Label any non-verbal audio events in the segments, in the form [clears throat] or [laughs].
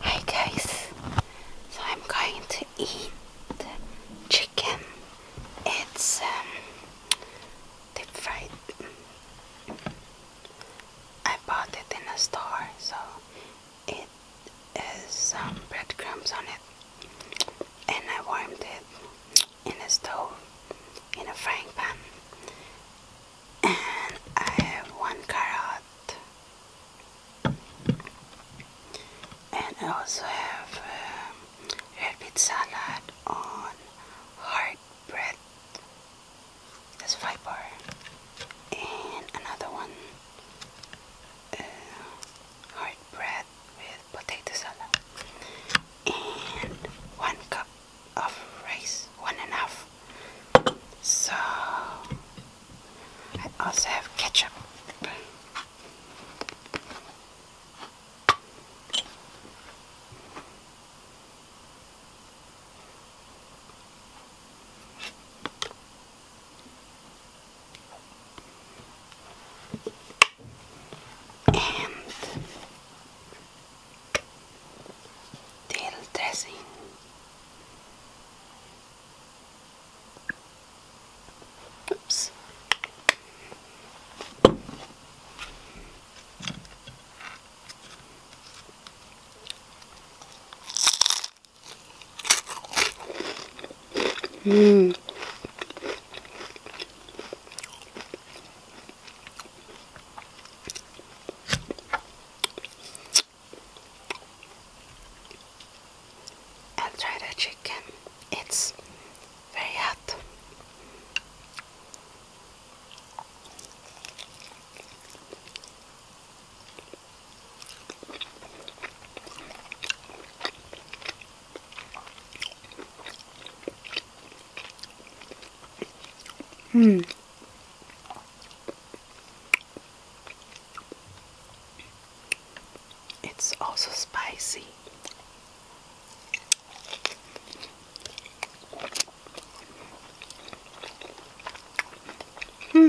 Hi guys, so I'm going to eat chicken. It's um, deep fried. I bought it in a store, so it has some um, breadcrumbs on it, and I warmed it in a stove in a frying pan, and I have one carrot and I also have um, red beet salad on hard bread that's fiber and another one uh, hard bread with potato salad and one cup of rice one and a half so I also have ketchup. And tail dressing. Oops. Mmm. I'll try the chicken. It's very hot. Hmm. It's also spicy. Hmm.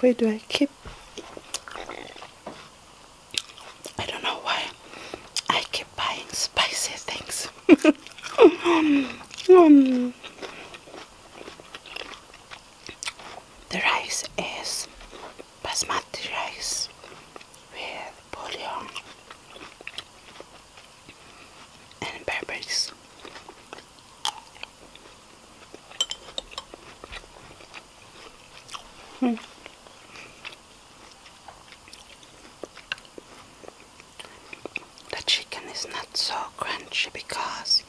where do I keep? I don't know why I keep buying spicy things. [laughs] Um, the rice is basmati rice with bouillon and peppers Hmm. The chicken is not so crunchy because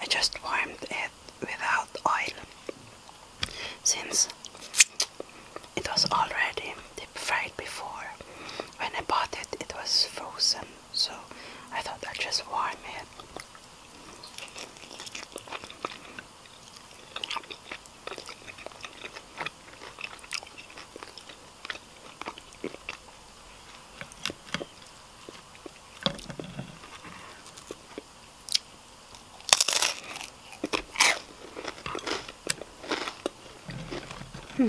I just warmed it without oil since it was already deep fried before. When I bought it, it was frozen. So I thought that just why, man. Hmm.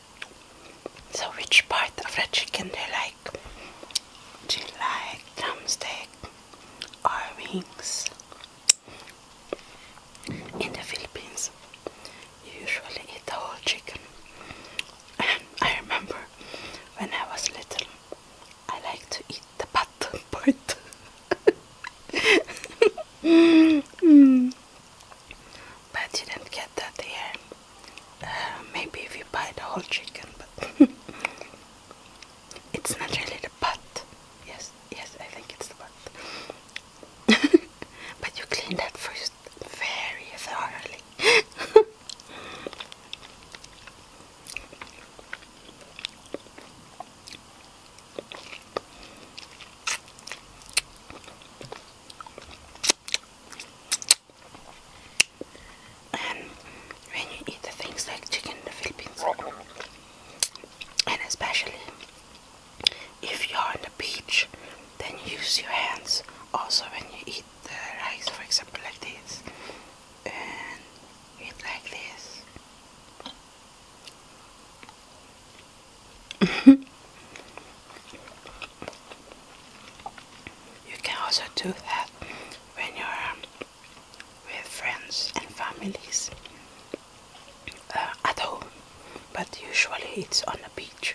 So which part of the chicken do you like? Do you like drumstick or wings? In the Philippines, you usually eat the whole chicken. And I remember when I was little, I liked to eat the bottom [laughs] part. [laughs] Mm but you didn't get that here. Uh, maybe if you buy the whole chicken, but [laughs] it's not really the butt. Yes, yes, I think it's the butt. [laughs] but you clean that first very thoroughly. And when you eat the things like chicken in the Philippines, and especially if you are on the beach, then use your hands also when you eat the rice, for example, like this, and eat like this. [laughs] You can also do that when you're um, with friends and families uh, at home, but usually it's on the beach.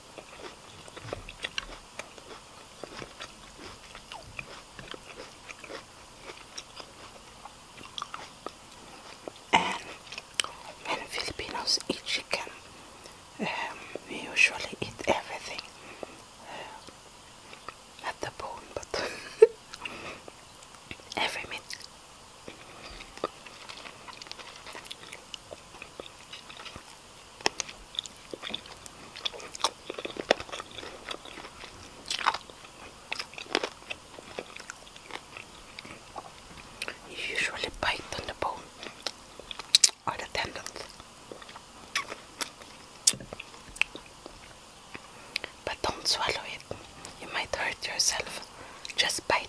And um, when Filipinos eat chicken, um, we usually eat everything. Uh, the bone, but [laughs] every meat. You usually bite on the bone or the tendons, but don't swallow it. You might hurt yourself. Just bite.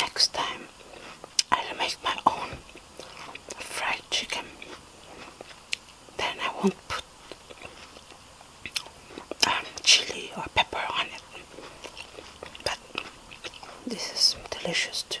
Next time I'll make my own fried chicken then I won't put um, chili or pepper on it. But this is delicious too.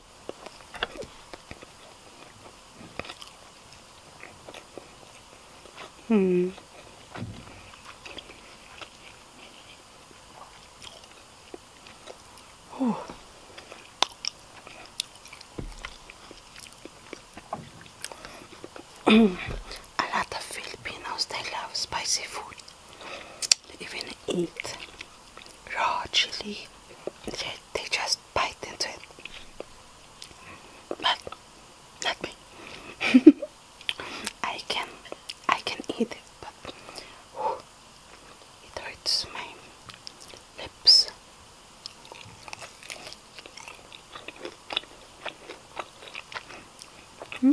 Hmm. Oh. [clears throat] a lot of Filipinos, they love spicy food. They even eat raw chili they, just bite into it. But not me. [laughs] I can I can eat it, but it hurts my lips. Hmm?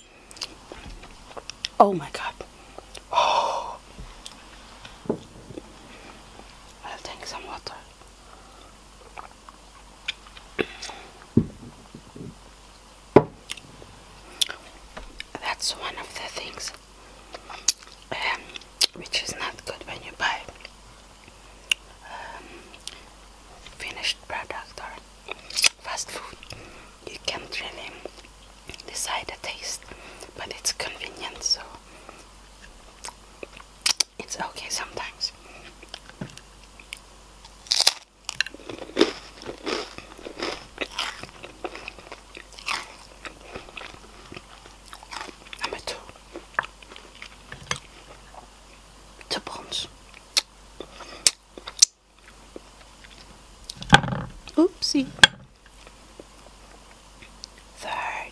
Oh my god. Oh. [gasps] I'll take some water. That's one of the things um, which is not good when you buy um, finished product or fast food you can't really decide the taste, but it's convenient, so it's okay sometimes. Number two, the buns. Oopsie. Third.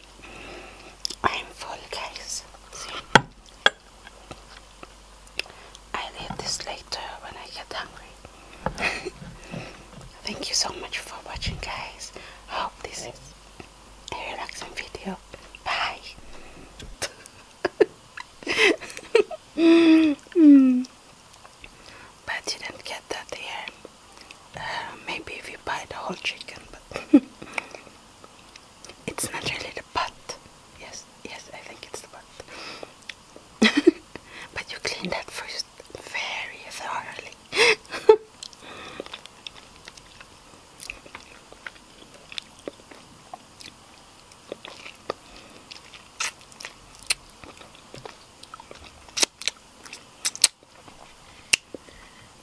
[laughs] I'm full, guys. I'll eat this later when I get hungry. [laughs] Thank you so much for watching, guys. Hope this is a relaxing video. Bye. [laughs] But you didn't get that here. Uh, maybe if you buy the whole chicken, it's not really the butt. Yes, yes, I think it's the butt. [laughs] but you clean that first very thoroughly.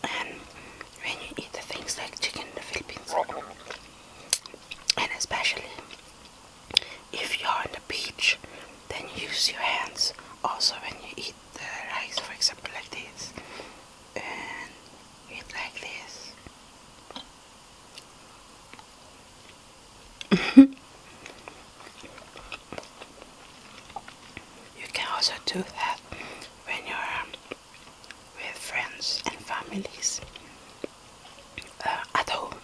And um, when you eat the things like chicken in the Philippines, and especially if you're on the beach, then use your hands also when you eat the rice, for example, like this, and eat like this. [laughs] you can also do that when you're um, with friends and families uh, at home,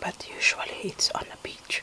but usually it's on the beach.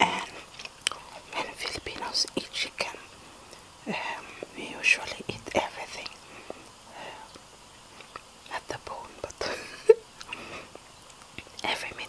And um, when Filipinos eat chicken, um, we usually eat everything uh, at the bone, but [laughs] every meat.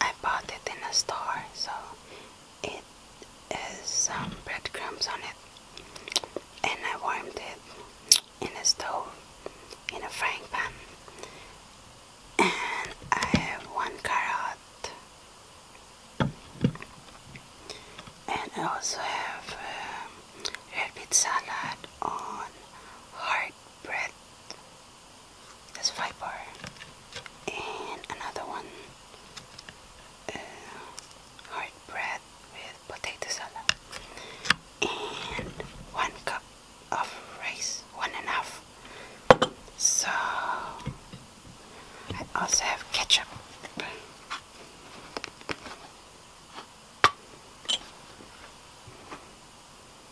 I bought it in a store, so it has some um, breadcrumbs on it. And I warmed it in a stove, in a frying pan. And I have one carrot. And I also have um, red beet salad on hard bread that's fiber, and another one, uh, hard bread with potato salad, and one cup of rice, one and a half. So I also have ketchup.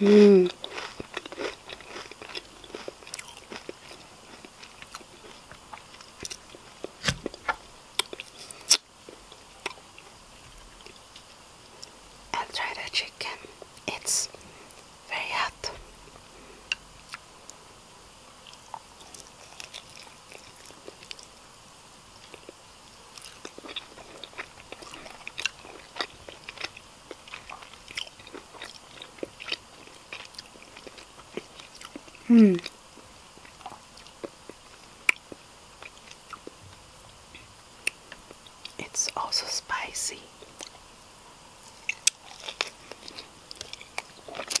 Hmm. I'll try the chicken. It's very hot. Hmm. It's also spicy.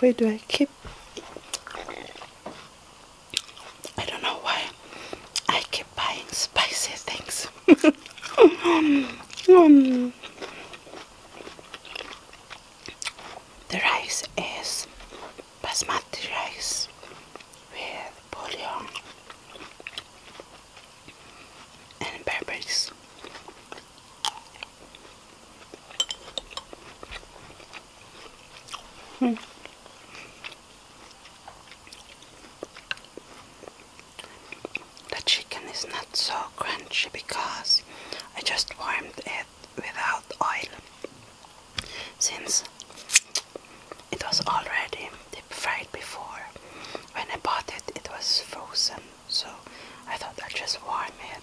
Where do I keep? I don't know why I keep buying spicy things. [laughs] Um, um. The rice is basmati rice with bouillon and peppers. Hmm. The chicken is not so crunchy because I just warmed it without oil since it was already deep fried before. When I bought it, it was frozen, so I thought i just warm it.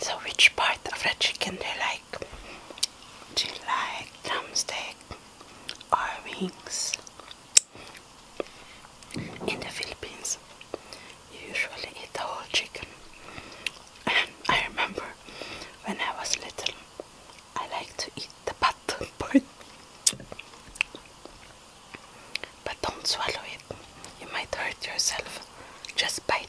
So which part of the chicken do you like? Do you like drumstick or wings? In the Philippines, you usually eat the whole chicken. And I remember when I was little, I liked to eat the butt [laughs] But don't swallow it, you might hurt yourself. Just bite.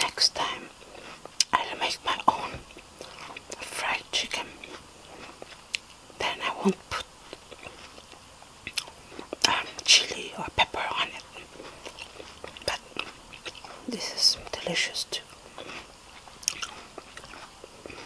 Next time I'll make my own fried chicken. Then I won't put um, chili or pepper on it. But this is delicious too.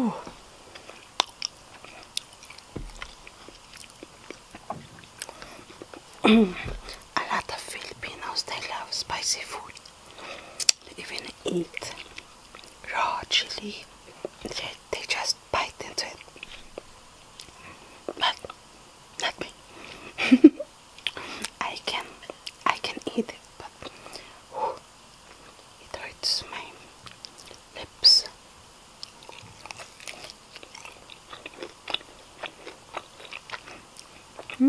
Oh. a lot of Filipinos they love spicy food. They even eat raw chili. They, they just bite into it. But not [laughs] I can I can eat it but it hurts my lips hmm?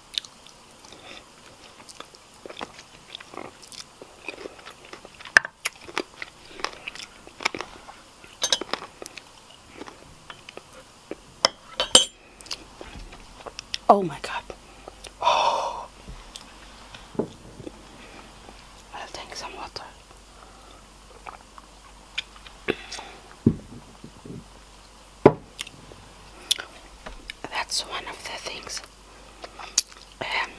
Oh my god. [gasps] Oh. I'll take some water. That's one of the things um,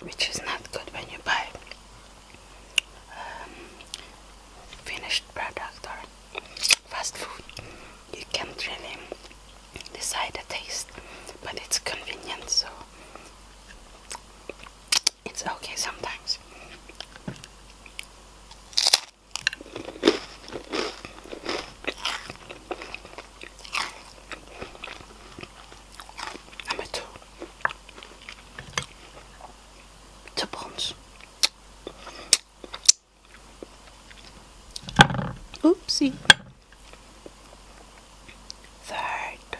which is not good when you buy um, finished product or fast food. You can't really decide the taste, but it's convenient, so it's okay sometimes. Number two. The Oopsie. Third.